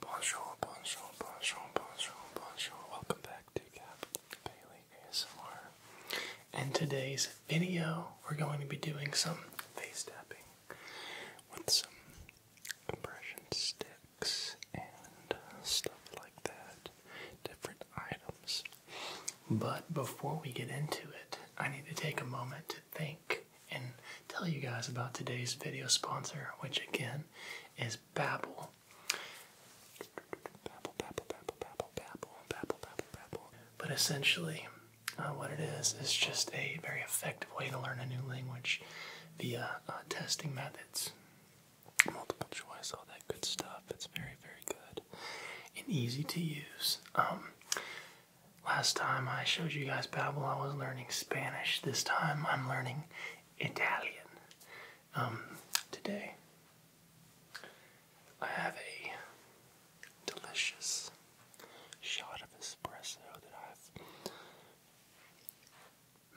Bonjour, bonjour, bonjour, bonjour, bonjour. Welcome back to Cap Bailey ASMR. In today's video, we're going to be doing some face tapping with some compression sticks and uh, stuff like that, different items. But before we get into it, I need to take a moment to think and tell you guys about today's video sponsor, which again is Babbel. But essentially, uh, what it is is just a very effective way to learn a new language via uh, testing methods. Multiple choice, all that good stuff. It's very, very good and easy to use. Um, last time I showed you guys Babbel, I was learning Spanish. This time I'm learning Italian um, today. I have a delicious shot of espresso that I've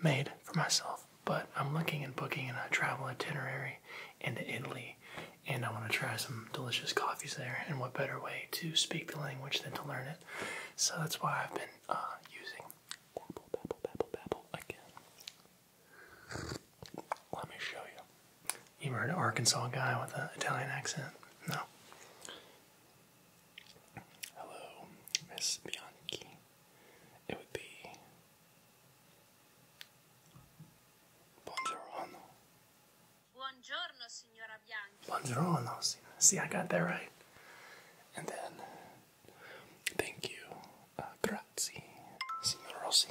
made for myself, but I'm looking and booking in a travel itinerary into Italy, and I want to try some delicious coffees there. And what better way to speak the language than to learn it? So that's why I've been uh, using Babble, Babble, Babble, Babble again. Let me show you. You ever an Arkansas guy with an Italian accent? No. Hello, Miss Bianchi. It would be Buongiorno. Buongiorno, signor Buongiorno, see, I got that right. And then, thank you, uh, grazie, signor Rossi.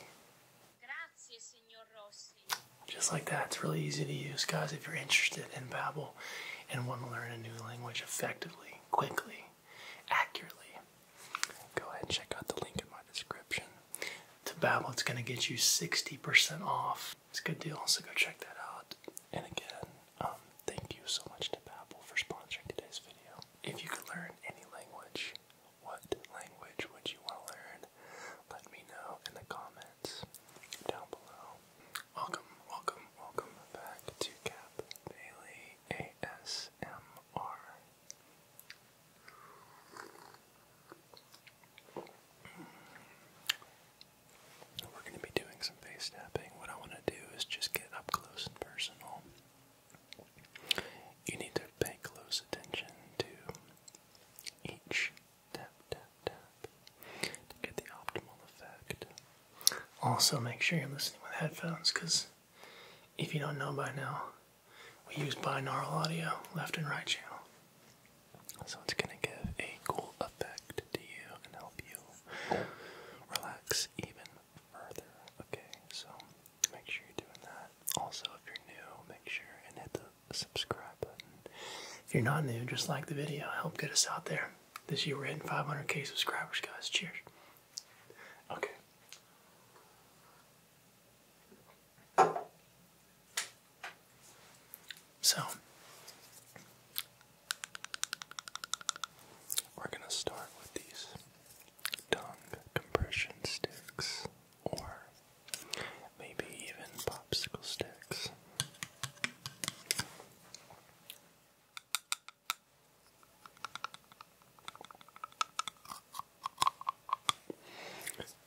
Grazie, signor Rossi. Just like that, it's really easy to use, guys. If you're interested in Babbel and want to learn a new language effectively, quickly, accurately, go ahead and check out the link in my description. To Babbel, it's going to get you 60% off. It's a good deal, so go check that out. And again, um, thank you so much to Babbel for sponsoring today's video. If you could learn any language, what language would you want to learn? Let me know in the comments down below. Welcome, welcome, welcome back to Cap Bailey ASMR. We're going to be doing some face tapping. What I want to do is just get up close and personal. You need to pay close attention to each tap, tap, tap to get the optimal effect. Also, make sure you're listening with headphones because if you don't know by now, we use binaural audio, left and right channel. So it's going to give a cool effect to you and help you relax even further. Okay, so make sure you're doing that. Also, if you're new, make sure and hit the subscribe button. If you're not new, just like the video, help get us out there. This year we're hitting 500k subscribers, guys. Cheers. Okay. So, we're going to start with these tongue compression sticks or maybe even popsicle sticks.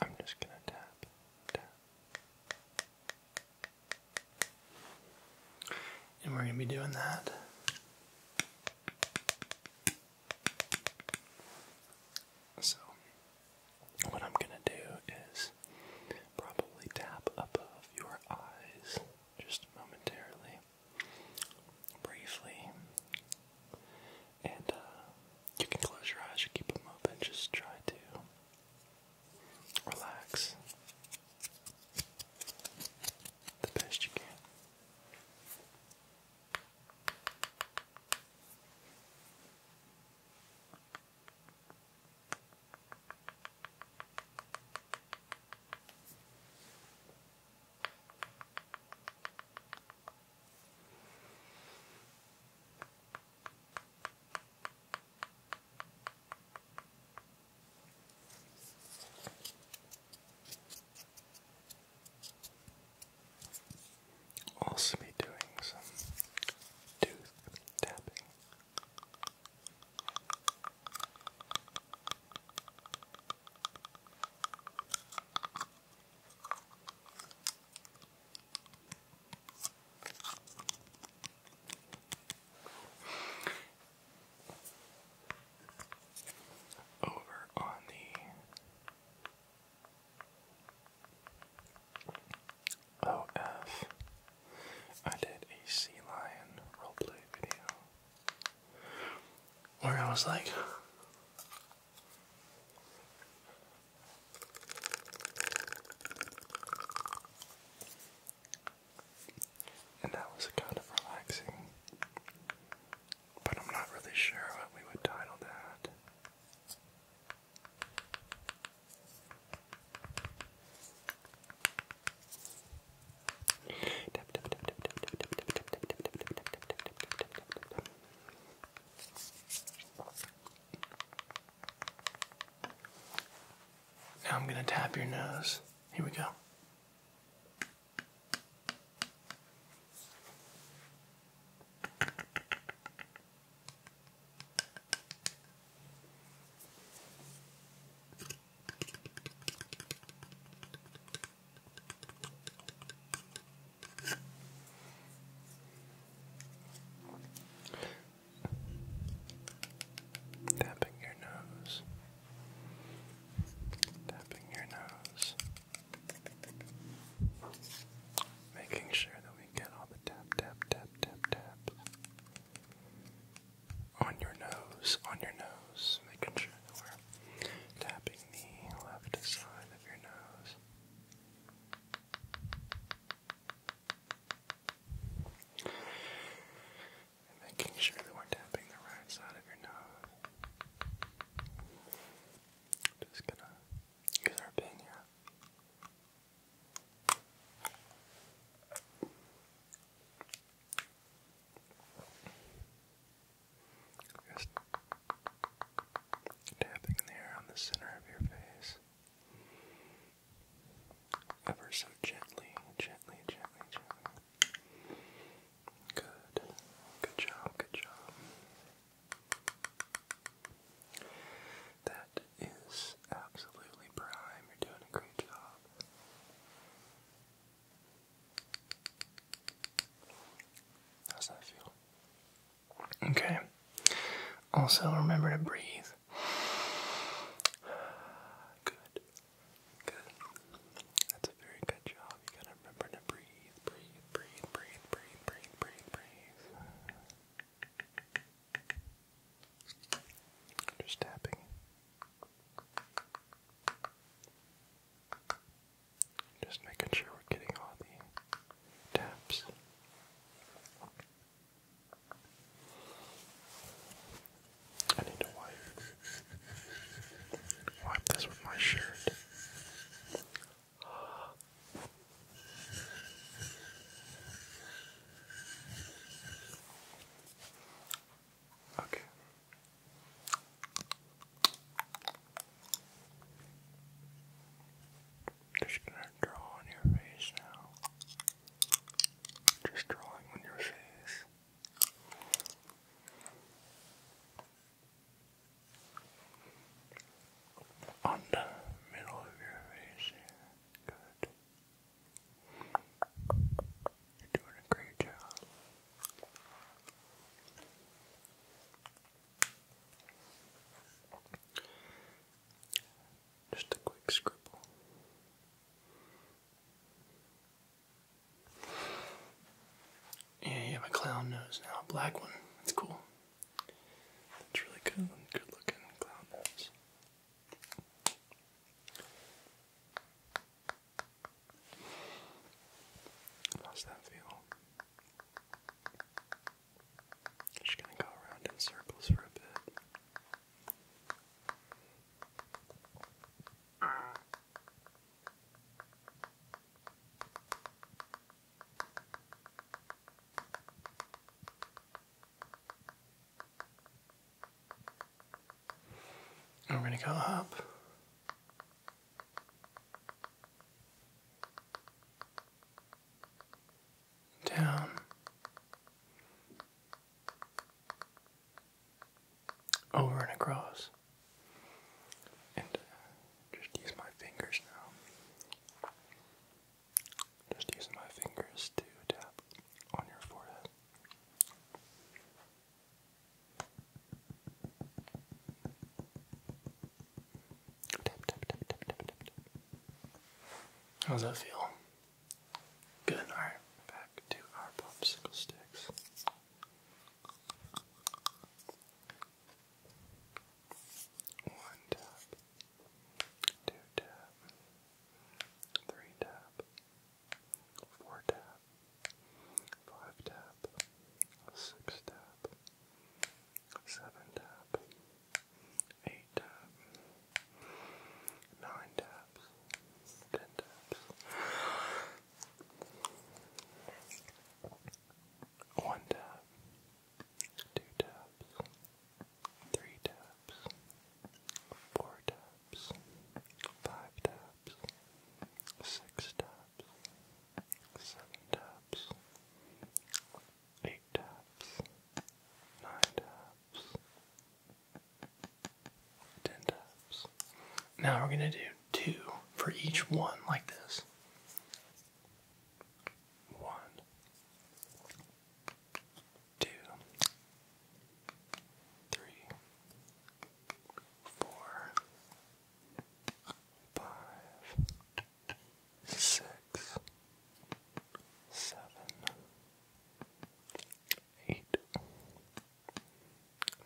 I'm just going to tap, tap, and we're going to be doing that so what I'm gonna do is probably tap above your eyes just momentarily, briefly, and uh, you can close your eyes or keep them open. Just try to relax the best you can. I'll also be doing some tooth tapping. Over on the OF, did a sea lion roleplay video where I was like, and that was kind of relaxing. But I'm not really sure what we would title that. Now I'm going to tap your nose. Here we go. Tapping your nose. Tapping your nose. Making sure that we get all the tap, tap, tap, tap, tap. On your nose, on your nose. Making sure that we're tapping the left side of your nose. And making sure that we're tapping the right side of your nose. Just gonna use our pin here. Just tapping there on the center of your face ever so gently, gently, gently, gently. Good. Good job, good job. That is absolutely prime. You're doing a great job. How's that feel? Okay. Also, remember to breathe. Good. Good. That's a very good job. You gotta remember to breathe, breathe, breathe, breathe, breathe, breathe, breathe, breathe. Just tapping. Just making sure we're getting all the taps. I need to wipe wipe this with my shirt. Okay. Just gonna draw on your face now. Just drawing on your face. On the middle of your face here. Good. You're doing a great job. Just a quick scribble. Yeah, you have a clown nose now, a black one. That's cool. That's really good, good looking clown nose. How's that feel? Just gonna go around in circles for a bit. And we going to go up down, over and across. And uh, just use my fingers now. Just using my fingers to tap on your forehead. Tap, How does that feel? Good. All right, back to our popsicle sticks. One tap, two tap, three tap, four tap, five tap, six tap seven taps. eight taps. nine taps, ten taps, one tap, two taps, three taps, four taps, five taps, six taps, seven taps eight taps, nine taps, ten taps. Now we're going to do two for each one, like this. One, two, three, four, five, six, seven, eight,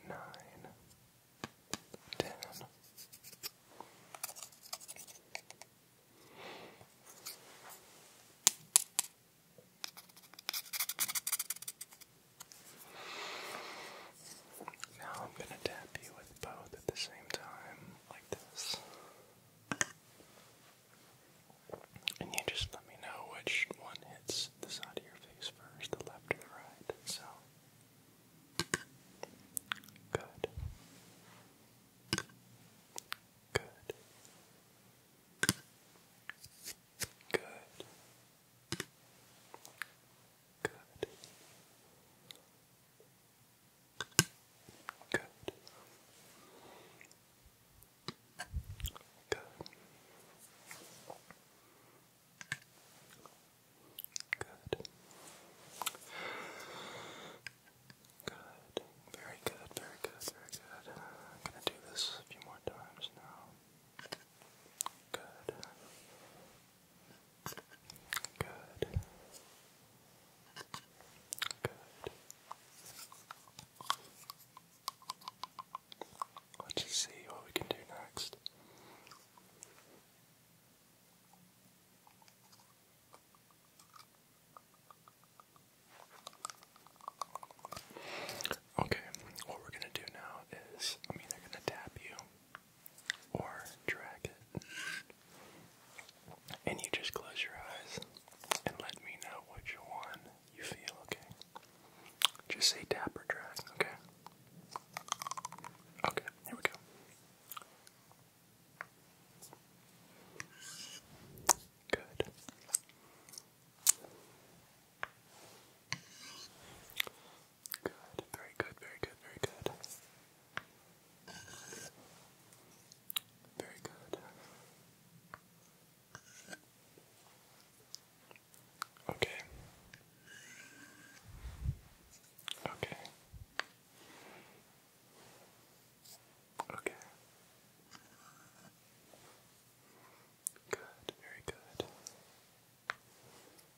nine, ten. Now I'm going to tap you with both at the same time like this. And you just let me know which one hits the side of your face first, the left or the right. So, good. Good. Good. Good. Good. Good. Good. Good. Very good, very good, very good. I'm gonna do this a few more times now. Good. Good. Good. Let's see what we can do next. Okay, what we're gonna do now is I'm either gonna tap you or drag it. And you just close your eyes and let me know which one you feel, okay? Just say tap or drag, okay? Okay, here we go. Good. Good. Very good. Very good. Very good. Very good. Okay. Okay. Okay. Good, very good.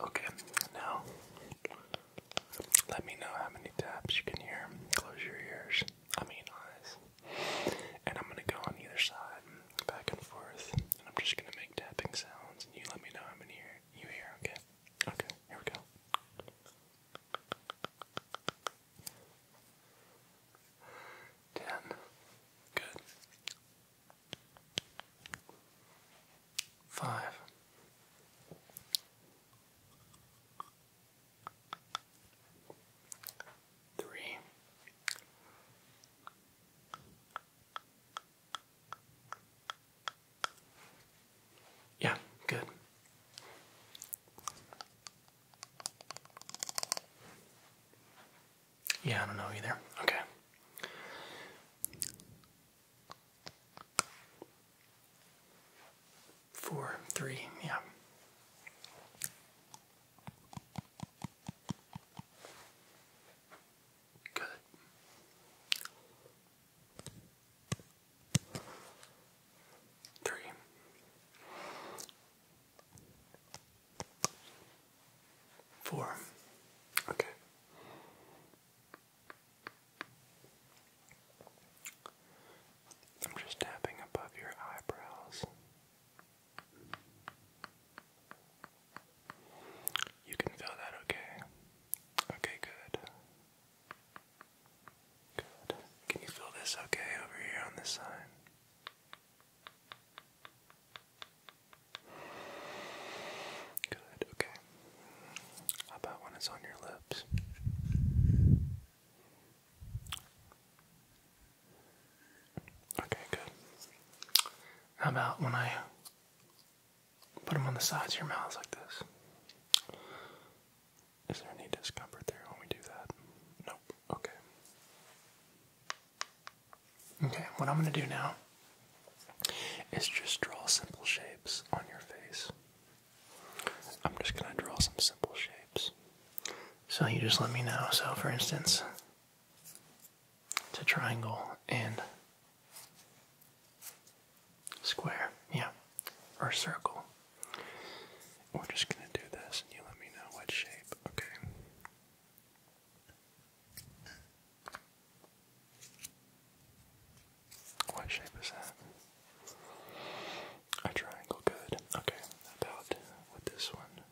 Okay, now let me know how many taps you can hear. Close your ears. I mean eyes. And I'm gonna go on either side, back and forth, and I'm just gonna make tapping sounds and you let me know i how many hear you hear, okay? Okay, here we go. Ten. Good. Five. Three. Yeah, good. Yeah, I don't know either. Okay. Four, three, yeah. Good. Three. Four. Okay. I'm just tapping above your eyebrows. You can feel that okay? Okay, good. Good. Can you feel this okay over here on this side? Good, okay. How about when it's on your lips? Okay, good. How about when I put them on the sides of your mouth like this? Is there any discomfort there when we do that? Nope. Okay. Okay, what I'm going to do now is just draw simple shapes on your face. I'm just going to draw some simple shapes. So you just let me know. So, for instance, it's a triangle and square, yeah, or circle. We're just going to do this and you let me know what shape, okay? What shape is that? A triangle, good. Okay, about with this one.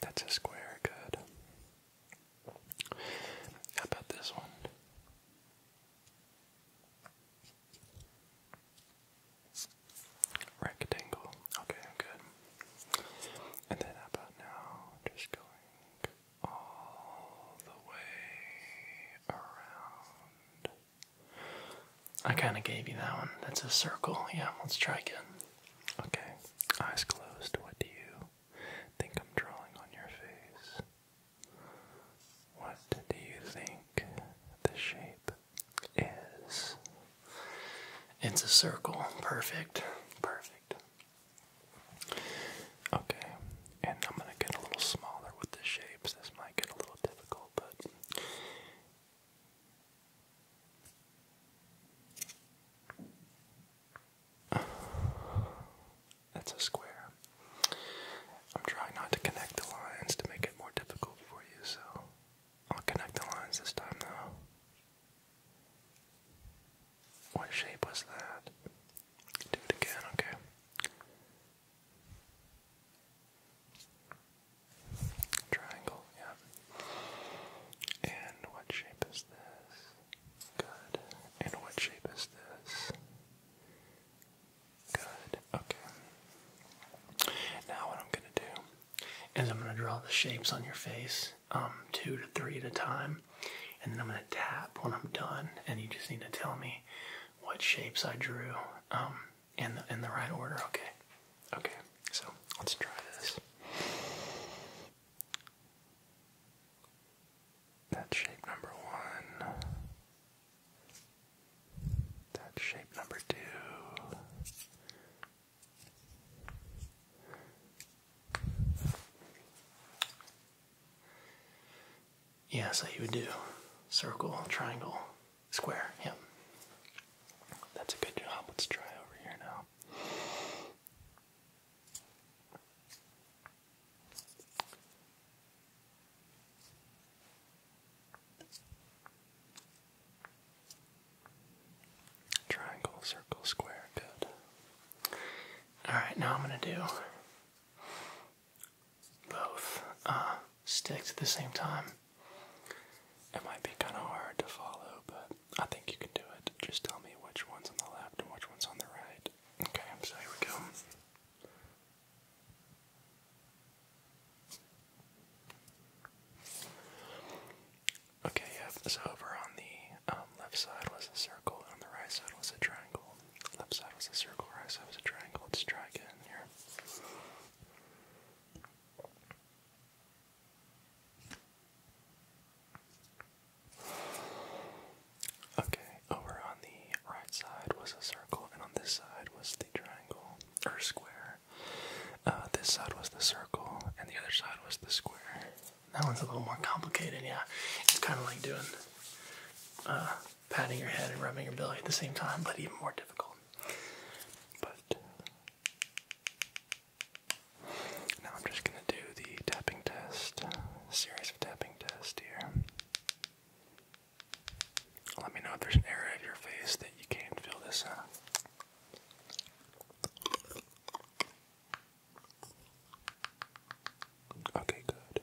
That's a square, good. How about this one? Rectangle. Okay, good. And then about now just going all the way around? I kind of gave you that one. That's a circle. Yeah, let's try again. Okay, eyes closed. What do you think I'm drawing on your face? What do you think the shape is? It's a circle. Perfect. Perfect. Okay, and I'm gonna get a little smaller with the shapes. This might get a little difficult, but. That's a square. I'm trying not to connect the lines to make it more difficult for you, so I'll connect the lines this time though. What shape was that? Do it again, okay. Triangle, yeah. And what shape is this? Good. And what shape is this? Good. Okay. Now what I'm gonna do is I'm gonna draw the shapes on your face, um, two to three at a time, and then I'm gonna tap when I'm done, and you just need to tell me what shapes I drew, um, in the in the right order. Okay. Okay. So let's try this. That's shape number one. That's shape number two. Yeah, so you would do circle, triangle, square. Yep. Yeah. That's a good job. Let's try over here now. Triangle, circle, square, good. Alright, now I'm gonna do both uh, sticks at the same time. It might be kind of hard to follow, but I think you can do it. Just tell me which one's on the left and which one's on the right. Okay, I'm so here we go. Okay, yep, so over on the um, left side was a circle, and on the right side was a triangle. Left side was a circle, right side was a triangle. It's a try here. Okay, over on the right side was a circle, and on this side was the triangle or square. Uh, this side was the circle, and the other side was the square. That one's a little more complicated, yeah. It's kind of like doing uh, patting your head and rubbing your belly at the same time, but even more difficult. But now I'm just going to do the tapping test, series of tapping tests here. Let me know if there's an area of your face that you can't feel this out. Okay, good.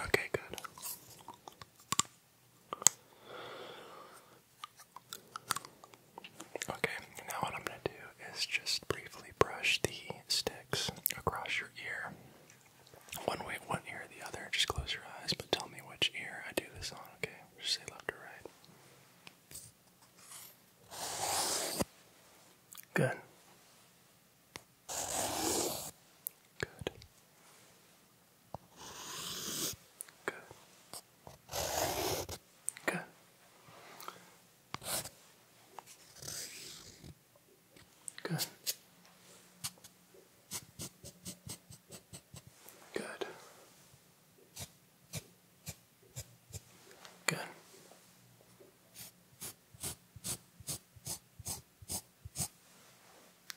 Okay, good. Okay, now what I'm going to do is just briefly brush the sticks across your ear one way, one ear or the other. Just close your eyes, but tell me which ear I do this on, okay? Just say left or right. Good. Good. Good. Good. Good. Good. Good.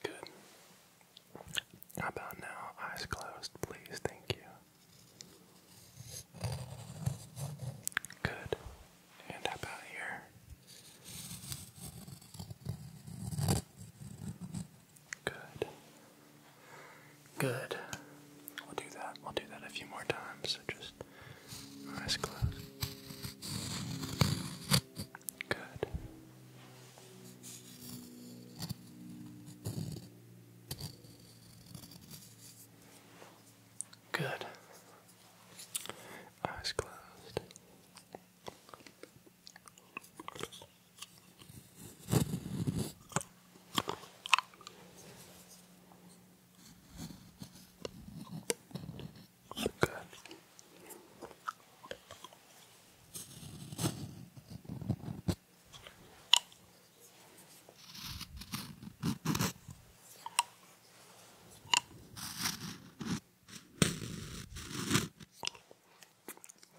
Good. How about now? Eyes closed, please. Thank you. Good. And how about here? Good. Good. We'll do that. We'll do that a few more times. just eyes closed. Good. Good. Eyes closed. Good.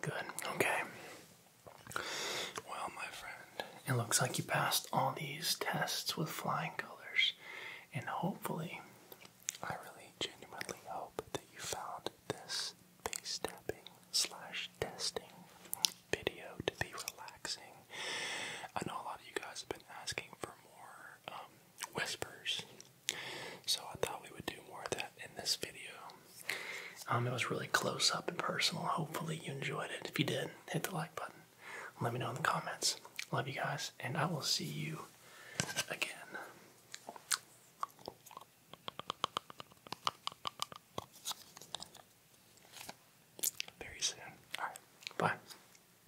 Good, okay. Well, my friend, it looks like you passed all these tests with flying colors, and hopefully, I really genuinely hope that you found this face tapping slash testing video to be relaxing. I know a lot of you guys have been asking for more um, whispers. So I thought we would do more of that in this video. Um, it was really close up and personal. Hopefully you enjoyed it. If you did, hit the like button. Let me know in the comments. Love you guys, and I will see you again. Very soon. Alright, bye.